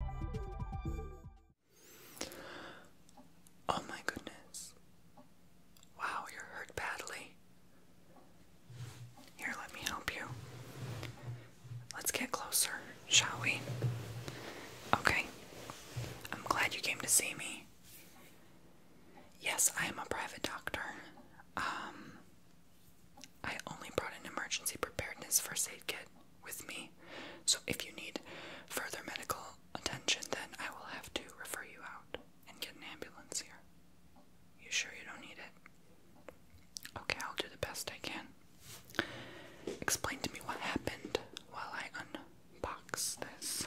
Oh my goodness. Wow, you're hurt badly. Here, let me help you. Let's get closer, shall we? Okay. I'm glad you came to see me. Yes, I am a private doctor. Um I only brought an emergency preparedness first aid kit with me. So if you need further medical attention, then I will have to refer you out and get an ambulance here. You sure you don't need it? Okay, I'll do the best I can. Explain to me what happened while I unbox this.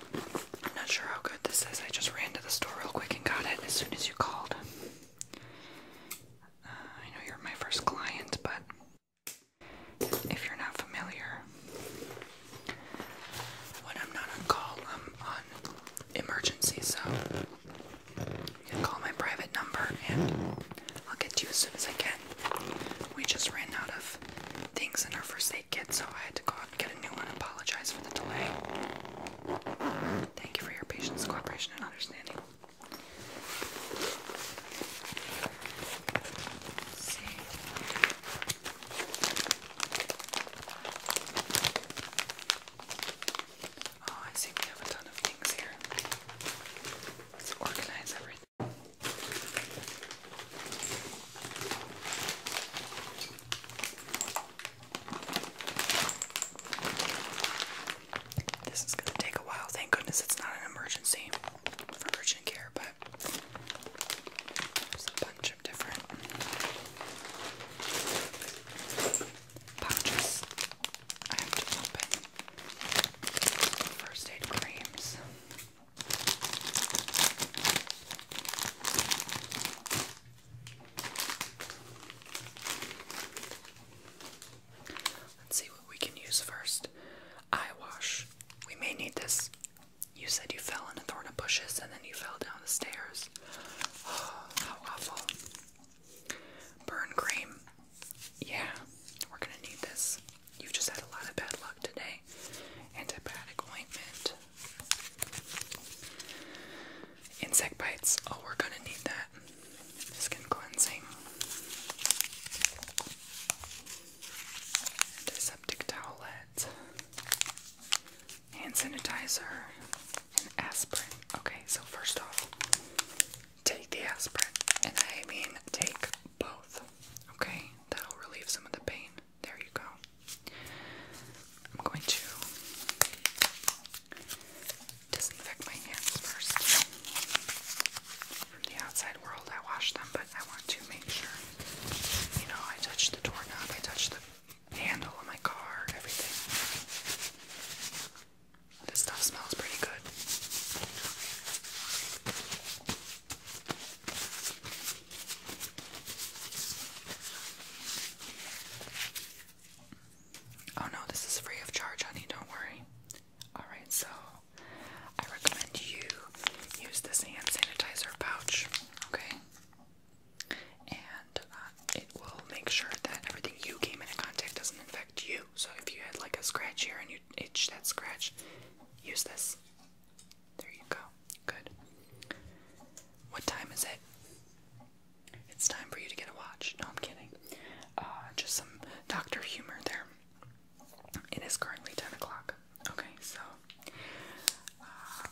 I'm not sure how good this is. I just ran to the store real quick and got it as soon as you called. Uh, I know you're my first client, but if you're not familiar, when I'm not on call, I'm on emergency, so you can call my private number and I'll get to you as soon as I can. We just ran out of things in our first aid kit, so I had to go get a new one. Apologize for the delay. Thank you for your patience, cooperation, and understanding. Oh, I see we have a ton of things here. Let's organize everything. This is gonna take a while. Thank goodness it's not an emergency for care, but there's a bunch of different pouches First aid creams. Let's see what we can use first. Eye wash. We may need this. You said you fell in a thorn of bushes and then you fell down the stairs. how awful. Burn cream. Yeah, we're gonna need this. you just had a lot of bad luck today. Antibiotic ointment. Insect bites. Oh, we're gonna need that. Skin cleansing. Antiseptic towelette. Hand sanitizer. aspirin. Okay, so first off, take the aspirin. And I mean, take both. Okay? That'll relieve some of the pain. There you go. I'm going to disinfect my hands first. From the outside world, I wash them, but I want to make sure, you know, I touch the door knob, I touch the handle of my car, everything. This stuff smells pretty good. Oh no, this is free of charge, honey, don't worry. Alright, so I recommend you use this hand sanitizer pouch, okay? And uh, it will make sure that everything you came into contact doesn't infect you. So if you had like a scratch here and you itch that scratch, use this. There you go. Good. What time is it? It's time for you to get a watch. No, I'm kidding. Uh, just some Dr. Humor there. It is currently 10 o'clock. Okay, so uh,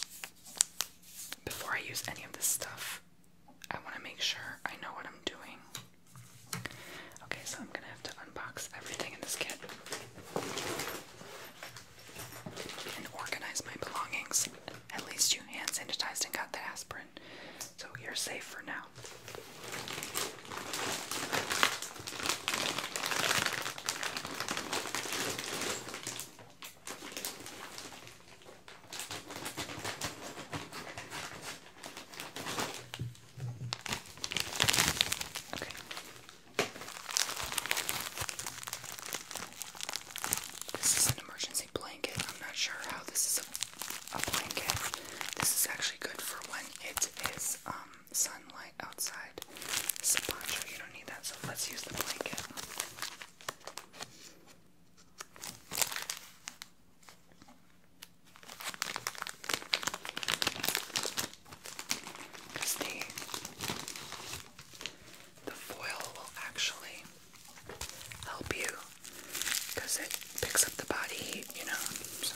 before I use any of this stuff, I want to make sure I know what I'm doing. Okay, so I'm gonna have to unbox everything in this kit and organize my belongings. At least you hand sanitized and got the aspirin, so you're safe for now. This is an emergency blanket. I'm not sure how this is a, blanket. This is actually good for when it is um, sunlight outside. It's a You don't need that, so let's use the blanket. Because the foil will actually help you because it picks up the body heat, you know. So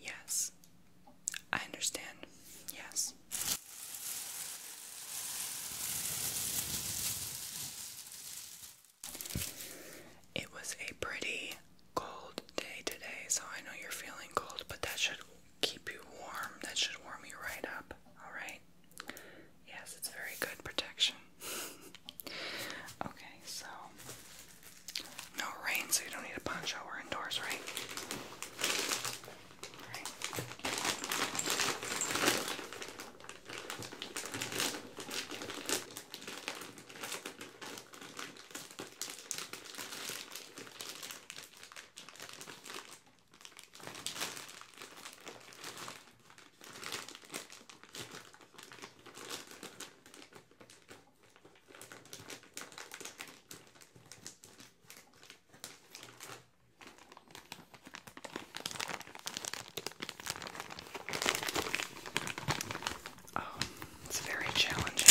Yes. I understand. Yes. It was a pretty cold day today, so I know you're feeling cold, but that should keep you warm. That should warm you right up, alright? Yes, it's very good protection okay, so no rain, so you don't need a poncho. We're indoors, right? Oh, it's very challenging.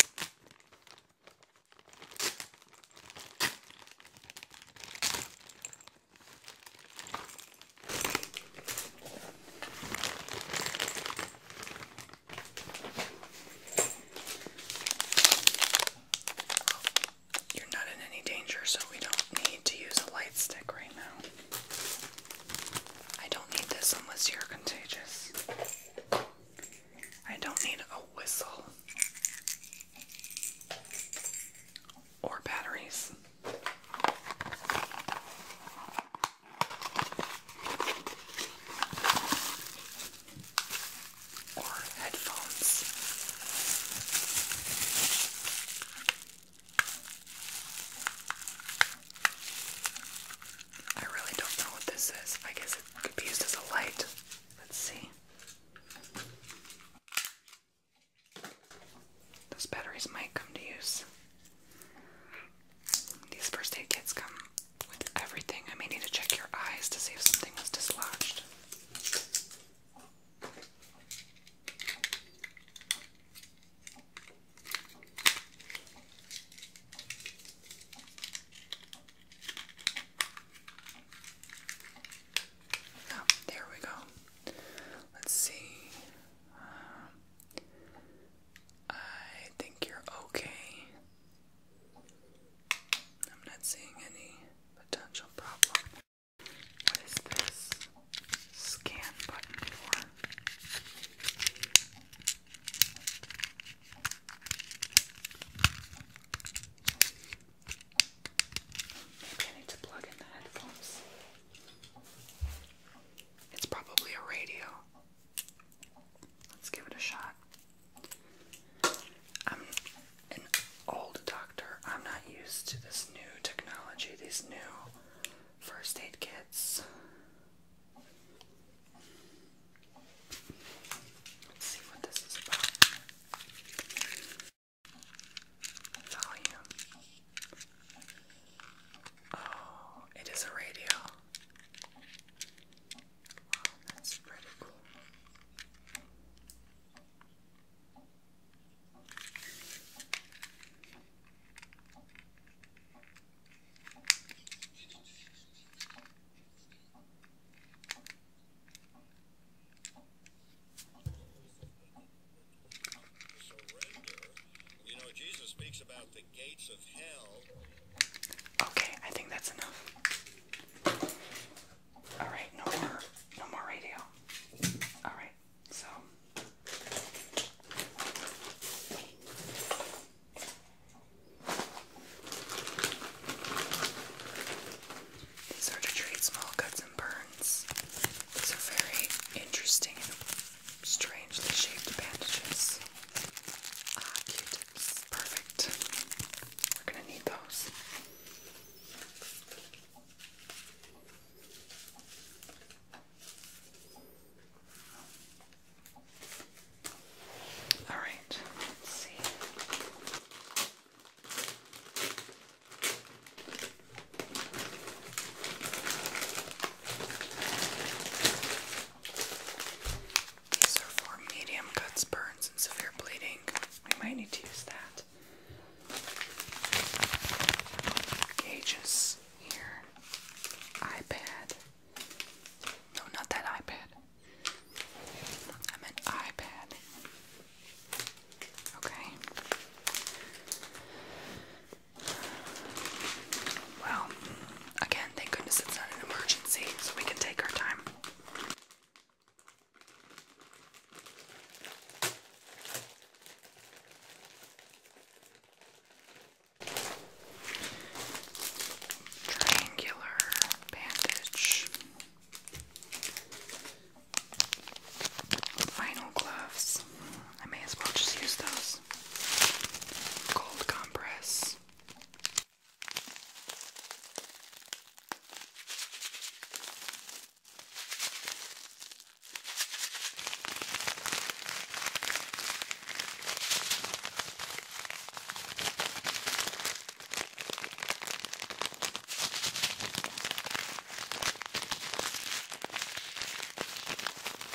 You're not in any danger, so we don't need to use a light stick right now. I don't need this unless you're contagious. I don't need a whistle or batteries or headphones. I really don't know what this is. I guess it could be used as a light. Let's see. Those batteries might come to use. These first aid kits come with everything. I may need to check your eyes to see if something was dislodged. Oh, there we go. Let's see. Uh, I think you're okay. I'm not seeing any potential problem. What is this scan button for? I need to plug in the headphones. It's probably a radio. Let's give it a shot. I'm an old doctor. I'm not used to this new technology, these new first aid kits. Let's see what this is about. Volume. Oh, it is a radio. Wow, that's pretty cool. Okay, I think that's enough. All right, no more, no more radio. All right, so. These are to treat small cuts and burns. These are very interesting strangely shaped bandages. Ah, Q-tips. Perfect. We're gonna need those. All see. These are for medium cuts, burns, and severe bleeding. We might need to use that. Gauges here. iPad. No, not that iPad. I meant iPad. Okay. Well, again, thank goodness it's not an emergency, so we can take our time. Triangular bandage. Final gloves. I may as well just use those compress, cold compress.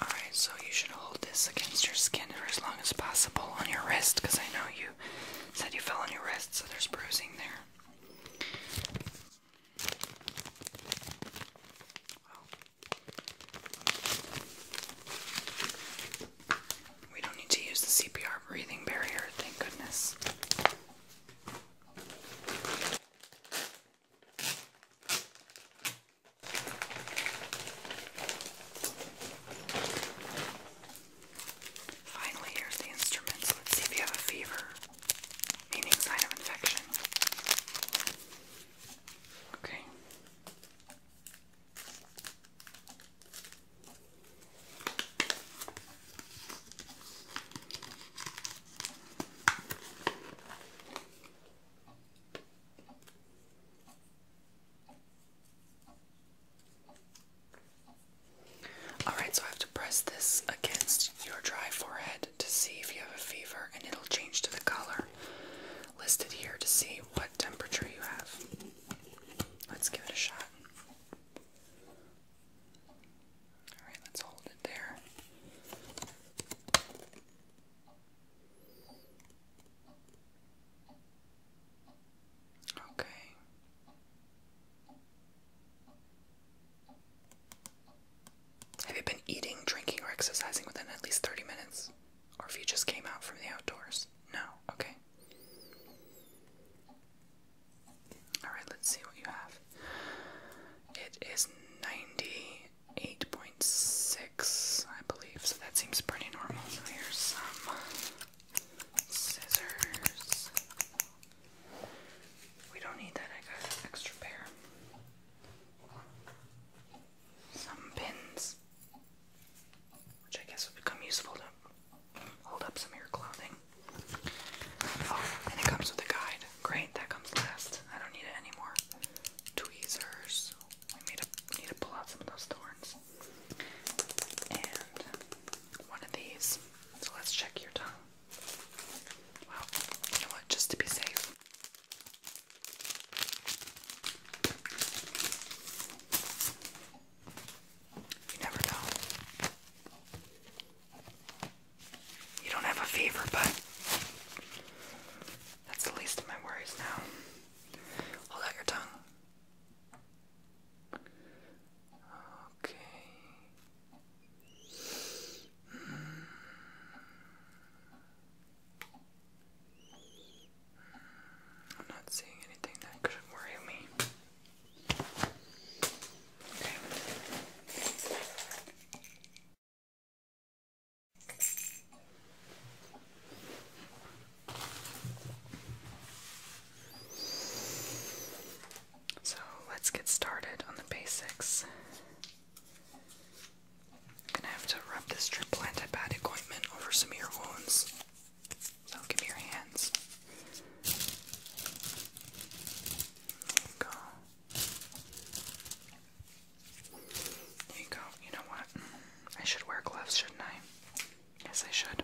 Alright, so you should hold this against your skin for as long as possible on your wrist because I know you said you fell on your wrist, so there's bruising there. We don't need to use the CPR breathing barrier, thank goodness. Finally, here's the instruments. Let's see if you have a fever, meaning sign of infection. Okay. All right, so I have to press this against your dry forehead to see if you have a fever, and it'll change to the color listed here to see what temperature you have. Let's give it a shot. Alright, let's hold it there. Okay. Have you been eating, drinking, or exercising within at least 30 minutes? Or if you just came out from the outdoors? No? Okay. Alright, let's see what you have. It is 98.6, I believe, so that seems pretty normal. So here's some scissors. We don't need that, I got an extra pair. Some pins which I guess would become useful to hold up some of your clothing. Oh, and it comes with a guide. Great, that comes last. I don't need it anymore. Tweezers. We need to, pull out some of those thorns. And one of these. So let's check your tongue. Well, you know what? Just to be safe. You never know. You don't have a fever, but that's the least of my worries now. Hold out your tongue. Okay. I'm not seeing anything that could worry me. So let's get started on the basics. gonna have to rub this triplanted bad ointment over some ear wounds. So give me your hands. There you go. There you go. You know what? I should wear gloves, shouldn't I? Yes, I should.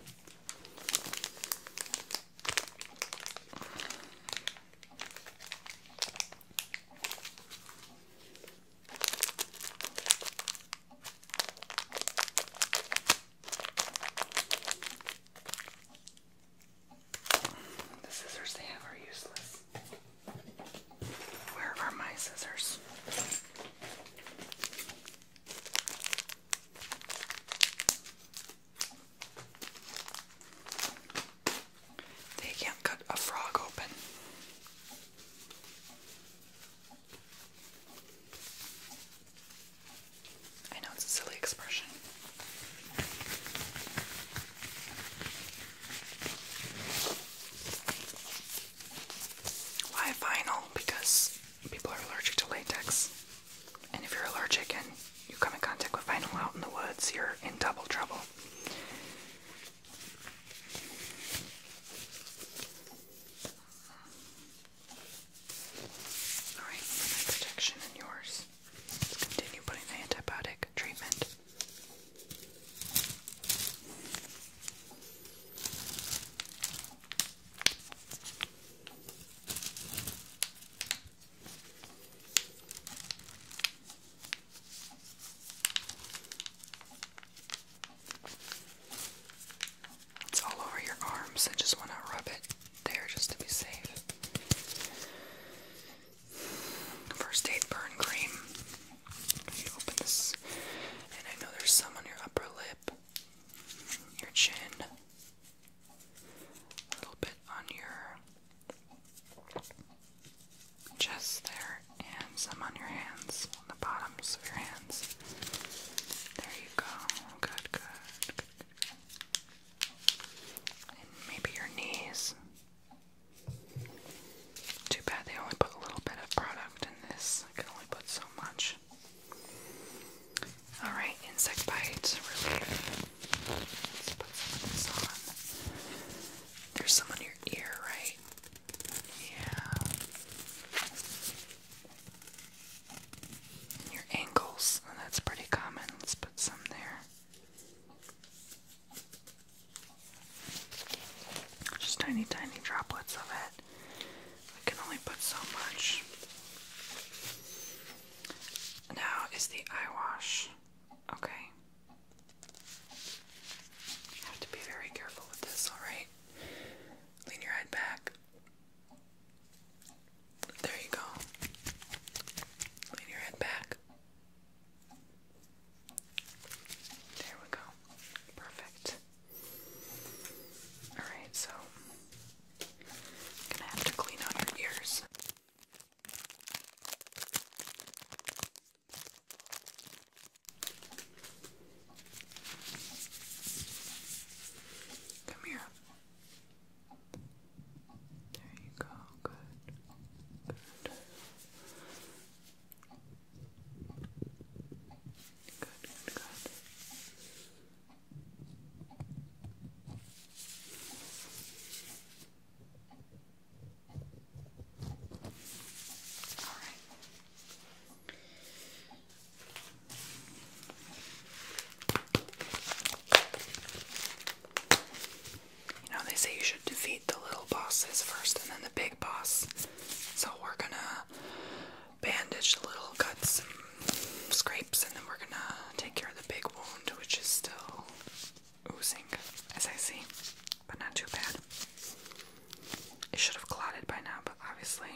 The scissors they have are useless. Where are my scissors? They can't cut a frog open. I know it's a silly expression. Why vinyl? Because people are allergic to latex. And if you're allergic and you come in contact with vinyl out in the woods, you're in double trouble. Alright, for my protection and yours, let's continue putting the antibiotic treatment. It's all over your arms. I just want to rub it there just to be safe. First aid burn cream. You open this, and I know there's some on your upper lip, your chin, a little bit on your chest there, and some on your hands, on the bottoms of your hands. There you go. Good, good, maybe your knees. Too bad they only put a little bit of product in this. can only put so much. Alright, insect bite put some of this on. There's some on your ear, right? Yeah your ankles, that's pretty common. Let's put some there. Just tiny, tiny droplets of it. I can only put so much. Now is the eye wash. Okay. have to be very careful with this, alright? Lean your head back. There you go. Lean your head back. There we go. Perfect. Alright, so gonna have to clean out your ears. Come here. There you go. Good. Good. Good, good, good. All right. You know, they say you should defeat the little bosses first and then the big boss. So we're gonna bandage little cuts scrapes, and then we're gonna take care of the big wound, which is still oozing, as I see, but not too bad. It should have clotted by now, but obviously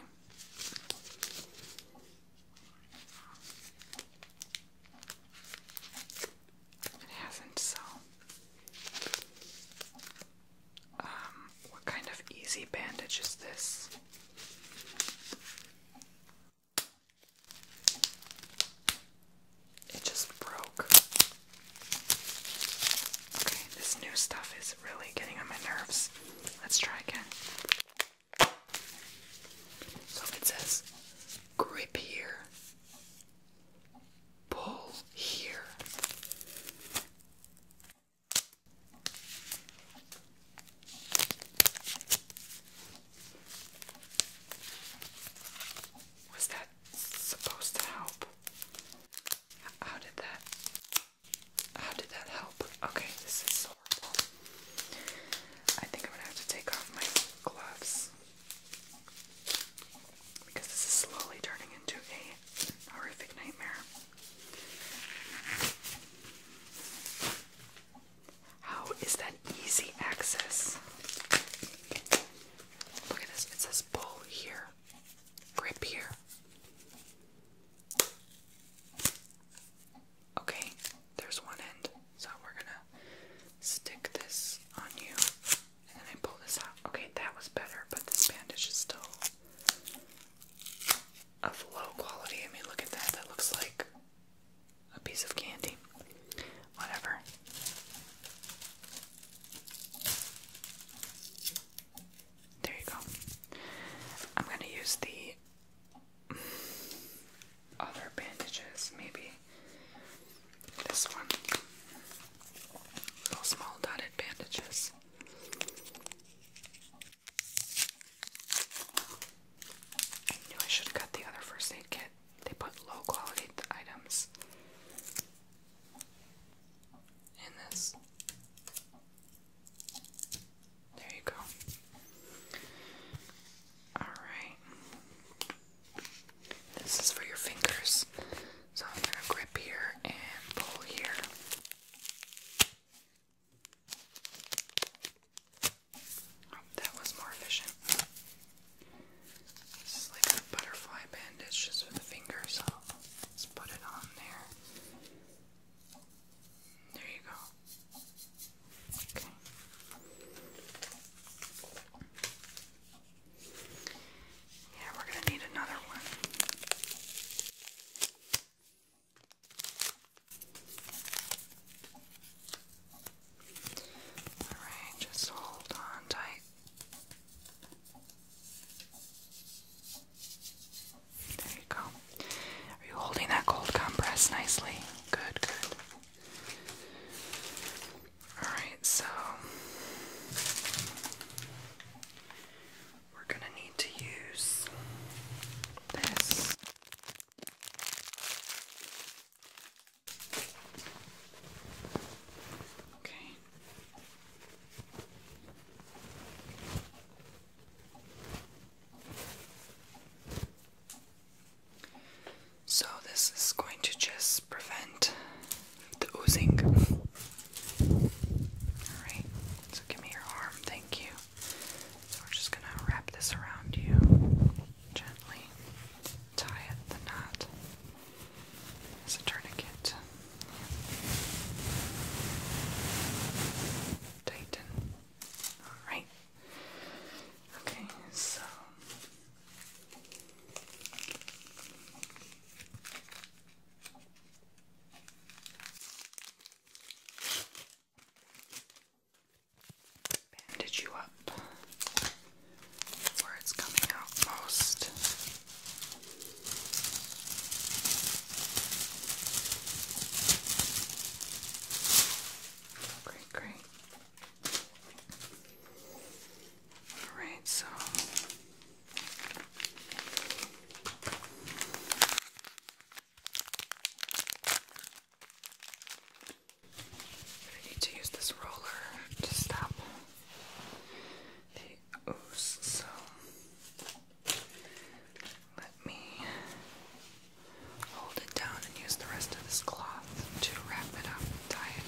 it hasn't, so. Um, what kind of easy bandage is this? It just broke. Okay, this new stuff is really getting on my nerves. Let's try again. So it says grip here, pull here. Was that supposed to help? How did that how did that help? Okay, this is horrible. I think I'm gonna have to take off my gloves because this is slowly turning into a horrific nightmare. How is that easy access? Look at this, it says pull here, grip here. Okay, there's one end, so we're gonna stick this on you, and then I pull this out. Okay, that was better, but this bandage is still of low quality. I mean, look at that. That looks like a piece of candy. Whatever. There you go. I'm gonna use the other bandages, maybe this one. small dotted bandages. I knew I should cut the other first aid kit. They put low quality items in this. There you go. Alright. This is for your fingers. So I'm going to grip here and pull here. Oh, that was more efficient. This is like a butterfly bandage just for the fingers. let's put it on there. There you go. Okay. Yeah, we're going to need another one. Alright, just hold on tight. There you go. Are you holding that gold compress nicely? Good, good. Alright, so we're going to need to use this. Okay. So, this is going to just prevent the oozing. Alright, so give me your arm, thank you. So, we're just gonna wrap this around you gently, tie it, the knot. It's a tourniquet. Alright. Okay, so bandage you up where it's coming out most. Great, great. All right, so I need to use this roller to stop the ooze. So. Let me hold it down and use the rest of this cloth to wrap it up and tie it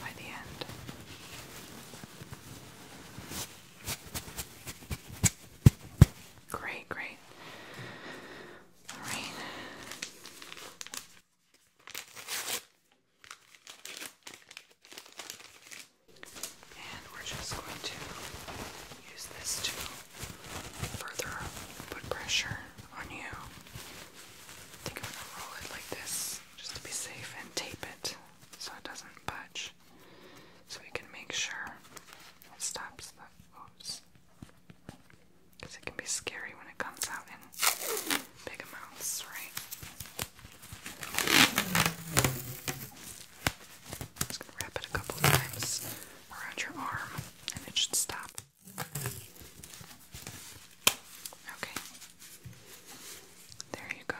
by the end. Great, great. Alright. And we're just going to use this to further put pressure on you. think I'm gonna roll it like this just to be safe and tape it so it doesn't budge. So we can make sure it stops the oops. Because it can be scary when it comes out in big amounts, right? just gonna wrap it a couple times around your arm and it should stop. Okay. There you go.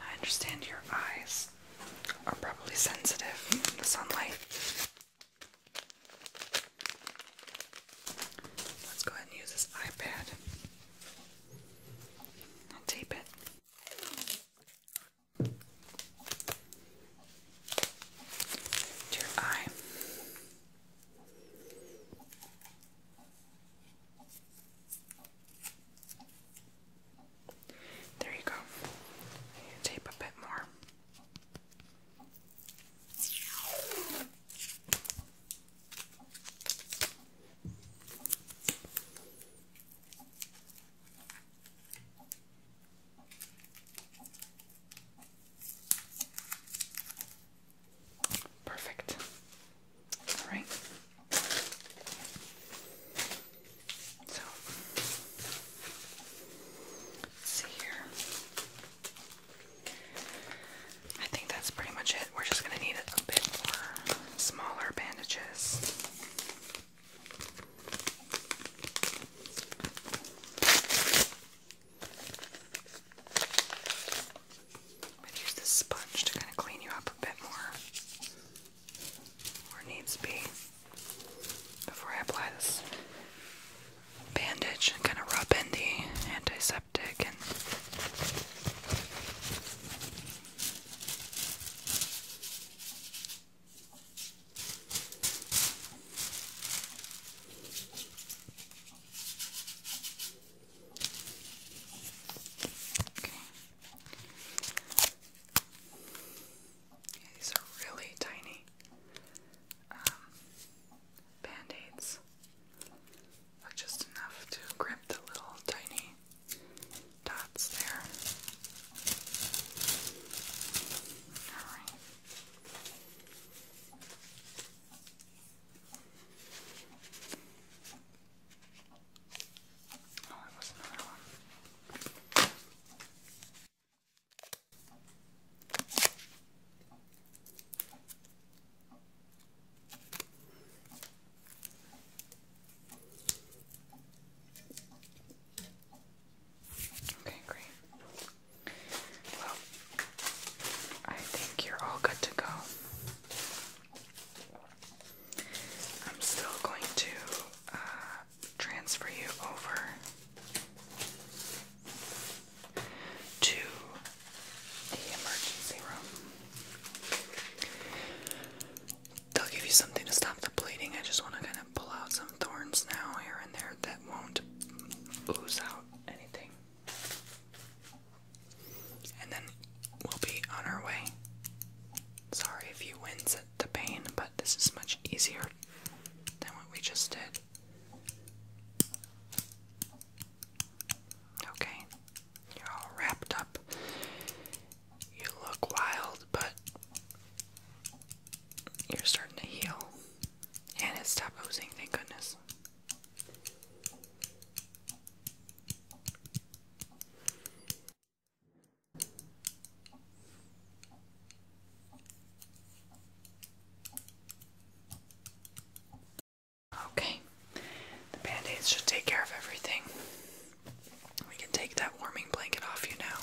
I understand your eyes are probably sensitive to the sunlight. Let's go ahead and use this iPad and tape it to your eye. There you go. Tape a bit more. Perfect. All right. So see here. I think that's pretty much it we're just going to need a bit more smaller bandages. i use this sponge to kind of clean you up a bit more, where needs be, before I apply this bandage kind of rub in the antiseptic and these are really tiny um, band-aids, but just enough to grip the little tiny dots there. All right. Oh, it was another one. Okay, great. Well, I think you're all good to go. I'm still going to uh, transfer you over to the emergency room they'll give you something to stop the bleeding. I just want to kind of pull out some thorns now, here and there, that won't ooze out anything. And then we'll be on our way. Sorry if you wince the pain, but this is much easier than what we just did. Okay, you're all wrapped up. You look wild, but you're starting to heal. And it stopped oozing, thank goodness. Okay. The band aids should take care of everything. We can take that warming blanket off you now.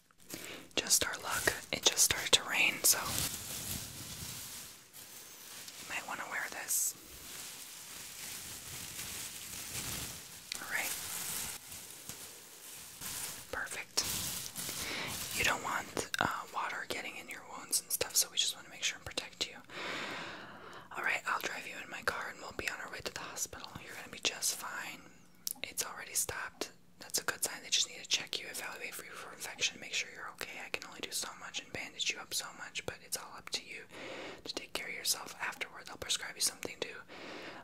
Just our luck. It just started to rain, so you might want to wear this. Alright. Perfect. You don't want uh, water getting in your wounds and stuff, so we just want to make sure and protect you. Alright, I'll drive you in my car and we'll be on our way to the hospital. You're going to be just fine. It's already stopped. That's a good sign. They just need to check you, evaluate for you for infection, make sure you're okay. I can only do so much and bandage you up so much, but it's all up to you to take care of yourself afterwards. I'll prescribe you something to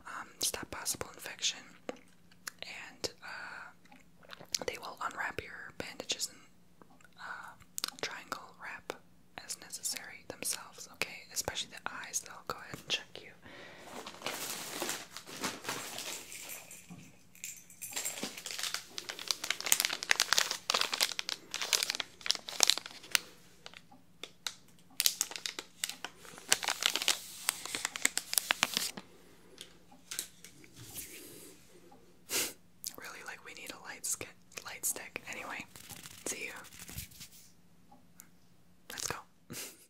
um, stop possible infection, and uh, they will unwrap your bandages and uh, triangle wrap as necessary themselves, okay? Especially the eyes, they'll go ahead and check you. really like we need a light stick. light stick. Anyway, see you. Let's go.